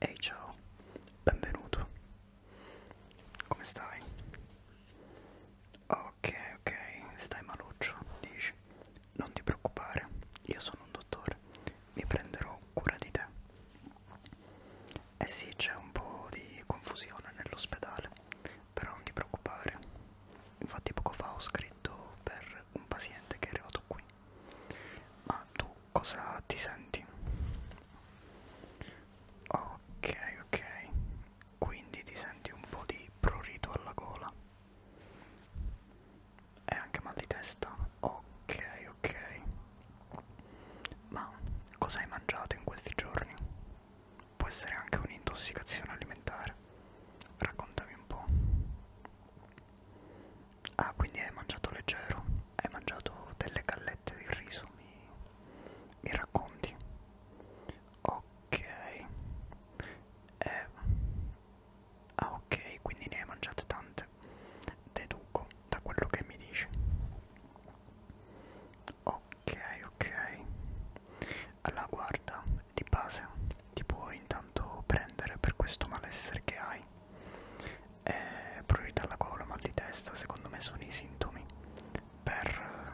Ehi hey, ciao, benvenuto. Come stai? Ok, ok, stai maluccio, dici. Non ti preoccupare, io sono un dottore, mi prenderò cura di te. Eh sì, c'è un po' di confusione nell'ospedale, però non ti preoccupare, infatti poco fa ho scritto per un paziente che è arrivato qui ma tu cosa ti senti? ok ok quindi ti senti un po' di prurito alla gola e anche mal di testa ok ok ma cosa hai mangiato in questi giorni? può essere anche un'intossicazione alimentare. Raccontami un po'. Ah, quindi hai mangiato leggero, hai mangiato delle gallette di riso, mi, mi racconti? Ok. Eh. Ah, ok, quindi ne hai mangiate tante, deduco da quello che mi dici. Ok, ok. Alla guarda, di base, ti puoi intanto prendere per questo malessere che hai. E priorità alla gola, mal di testa, secondo me sono i sintomi per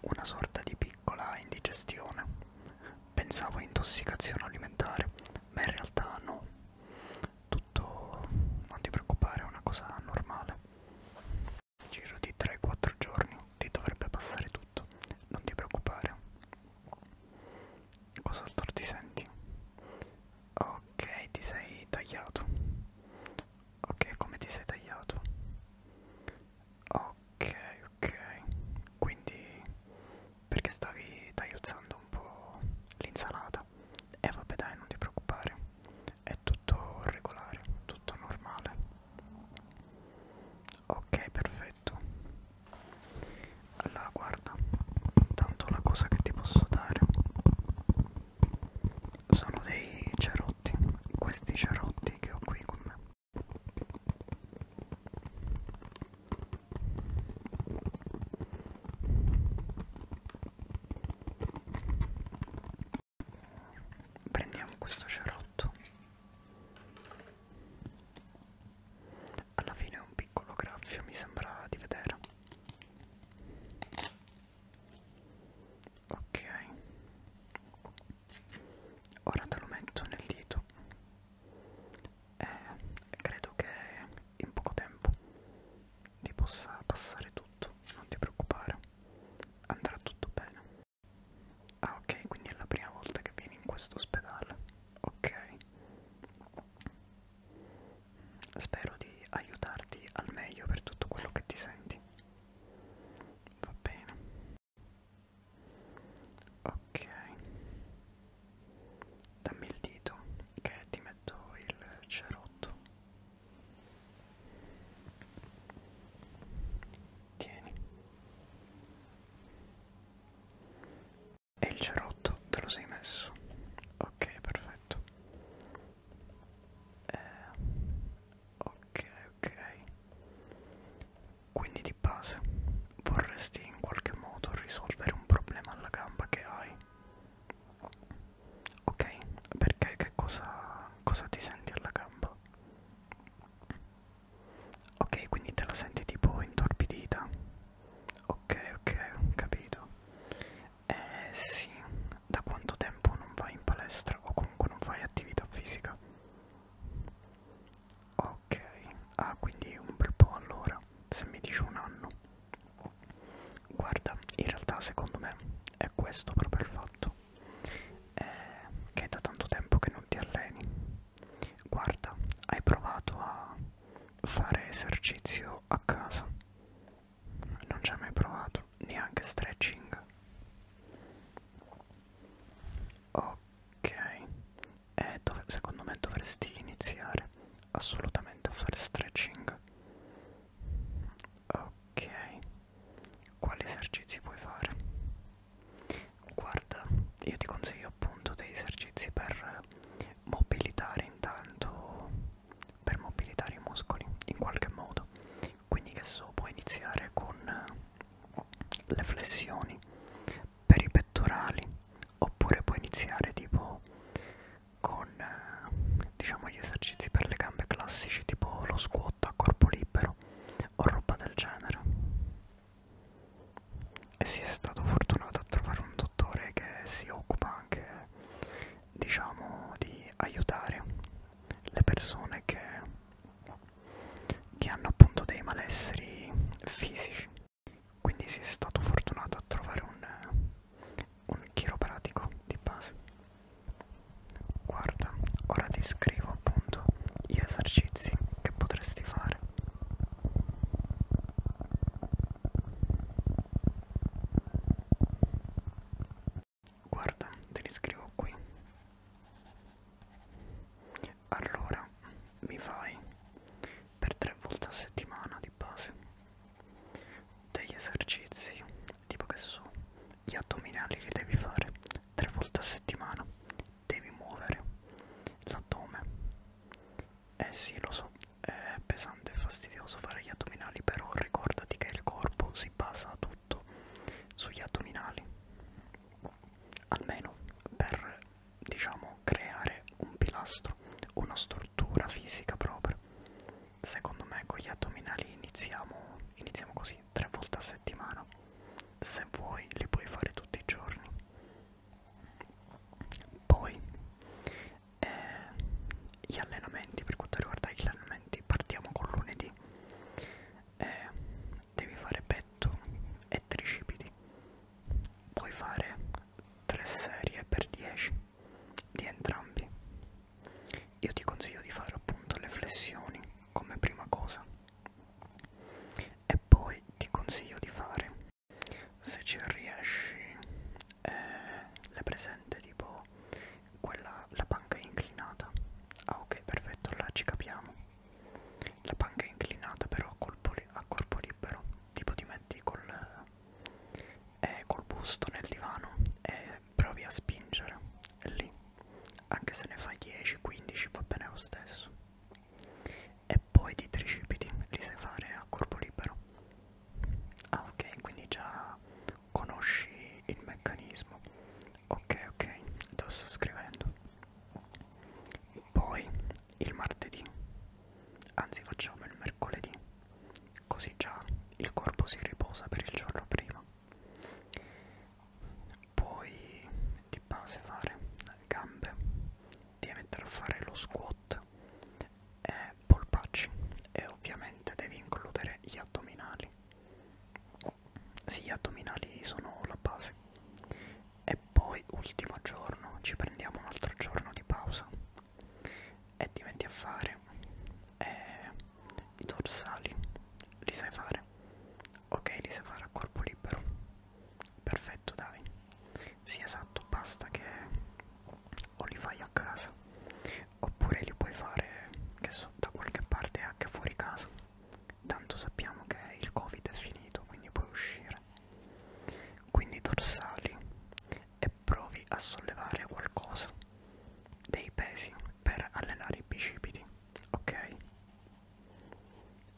una sorta di piccola indigestione. Pensavo intossicazione alimentare, ma in realtà no. Tutto, non ti preoccupare, è una cosa normale nel giro di 3-4 giorni ti dovrebbe passare tutto, non ti preoccupare. Cos'altro ti senti? Ok, ti sei tagliato. Ok, come ti sei tagliato? Ok, ok. Quindi perché stavi tagliuzzando un po' l'insalata? E eh, vabbè dai, non ti preoccupare, è tutto regolare, tutto normale. Ok, perfetto. Allora guarda, intanto la cosa che ti posso dare sono dei cerotti, questi cerotti che ho qui con me prendiamo questo cerotto alla fine è un piccolo graffio mi sembra di vedere ok ora te lo metto nel dito e eh, credo che in poco tempo ti possa passare tutto, non ti preoccupare, andrà tutto bene. Ah ok, quindi è la prima volta che vieni in questo ospedale. Ok. Spero di aiutarti al meglio per tutto quello che ti senti. Va bene. Ok dammi il dito che ti metto il cerotto tieni e il cerotto te lo sei messo ok perfetto eh, ok ok quindi di base vorresti in qualche modo risolvere un problema alla gamba che hai Ok, perché che cosa, cosa ti senti alla gamba? Ok, quindi te la senti tipo intorpidita? Ok, ok, ho capito. Eh sì, da quanto tempo non vai in palestra o comunque non fai attività fisica? Ok, ah quindi un bel po' allora, se mi dici un anno. Guarda, in realtà secondo me è questo proprio il fatto. È che è da tanto tempo che non ti alleni. Guarda, hai provato a fare esercizio a casa. Non ci hai mai provato, neanche stretching. Ok, eh, dove, secondo me dovresti iniziare assolutamente a fare stretching ok quali esercizi puoi fare guarda io ti consiglio appunto dei esercizi per mobilitare intanto per mobilitare i muscoli in qualche modo quindi che so puoi iniziare con le flessioni per i pettorali oppure puoi iniziare tipo con eh, diciamo gli esercizi per le gambe classici tipo lo squat a corpo libero o roba del genere e si è stato fortunato a trovare un dottore che si occupa anche diciamo di aiutare le persone che, che hanno appunto dei malesseri fisici quindi si è stato fortunato a trovare un, un chiropratico di base guarda ora ti scrivo appunto gli esercizi che potresti fare guarda te li scrivo qui allora mi fai per tre volte a settimana di base degli esercizi tipo che so gli addominali li devi fare tre volte a settimana devi muovere l'addome eh sì lo so è pesante e fastidioso fare gli addominali però ricordati che il corpo si basa tutto sugli addominali almeno per diciamo creare un pilastro, una struttura fisica proprio. Secondo me con gli addominali iniziamo, iniziamo così, tre volte a settimana. Se vuoi li puoi fare tutti i giorni. Poi eh, gli allenamenti, per quanto riguarda gli allenamenti, partiamo con lunedì. Eh, devi fare bed petto e tricipiti puoi fare 3 serie per 10 di entrambi io ti consiglio di fare appunto le flessioni come prima cosa e poi ti consiglio di fare se ci riesci eh, le presente tipo quella la panca inclinata ah ok perfetto là ci capiamo la panca è inclinata però a, colpo li a corpo libero, tipo ti metti col, eh, col busto nel divano e provi a spingere e lì, anche se ne fai 10-15 va bene lo stesso. E poi di tricipiti li sai fare a corpo libero. Ah ok, quindi già conosci il meccanismo ok ok te lo sto scrivendo poi il martedì anzi facciamo il mercoledì così già il corpo si riposa per il giorno prima poi ti base fare gambe devi mettere a fare lo squat e polpacci e ovviamente devi includere gli addominali sì gli addominali sono la base e poi ultimo giorno ci prendiamo un altro giorno di pausa e ti metti a fare e eh, i dorsali li sai fare ok li sai fare a corpo libero perfetto dai sì esatto basta che o li fai a casa oppure li puoi fare che so, da qualche parte anche fuori casa tanto sappiamo che il covid è finito quindi puoi uscire quindi dorsali e provi a sollevare qualcosa dei pesi per allenare i bicipiti ok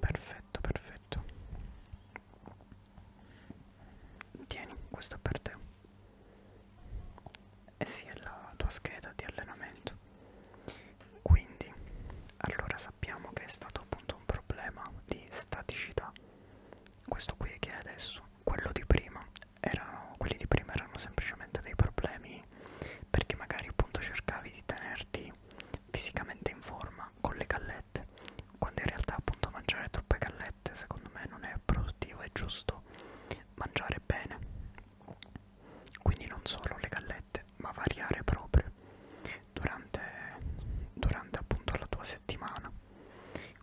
perfetto perfetto tieni questo è per te e sia la tua scheda di allenamento quindi allora sappiamo che è stato appunto un problema di staticità questo qui che è adesso quello di prima erano quelli di prima erano semplicemente dei problemi perché magari appunto cercavi di tenerti fisicamente in forma con le gallette quando in realtà appunto mangiare troppe gallette secondo me non è produttivo è giusto mangiare bene quindi non solo le gallette, ma variare proprio durante, durante appunto la tua settimana.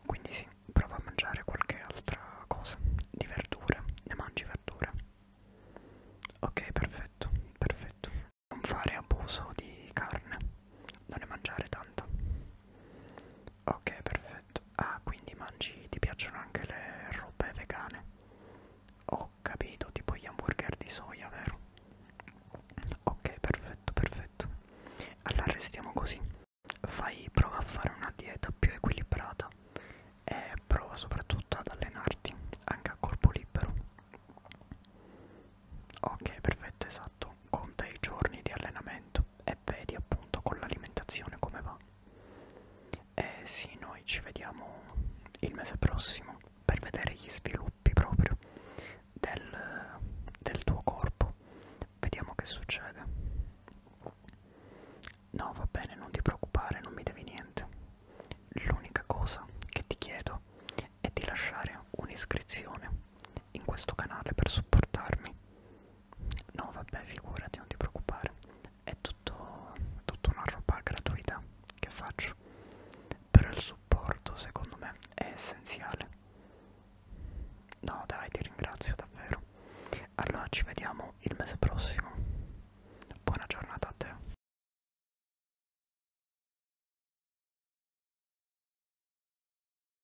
Quindi sì, prova a mangiare qualche altra cosa di verdure, ne mangi verdure. Ok, perfetto, perfetto. Non fare abuso di carne, non ne mangiare tanta. Ok, perfetto perfetto. Ah, quindi mangi, ti piacciono anche le robe vegane? Ho capito, tipo gli hamburger di soia, vero? Ok, perfetto, perfetto. Allora restiamo così. Fai, prova a fare una dieta più equilibrata e prova soprattutto ad allenarti, anche a corpo libero. Ok, perfetto, esatto. Conta i giorni di allenamento e vedi appunto con l'alimentazione come va. E sì, noi ci vediamo il mese prossimo per vedere gli sviluppi proprio del, del tuo corpo. Vediamo che succede. No, va bene, non ti preoccupare, non mi devi niente. L'unica cosa che ti chiedo è di lasciare un'iscrizione in questo canale per supportarmi No vabbè figurati non ti preoccupare È tutto, tutto una roba gratuita che faccio Però il supporto secondo me è essenziale No dai ti ringrazio davvero Allora ci vediamo il mese prossimo Buona giornata a te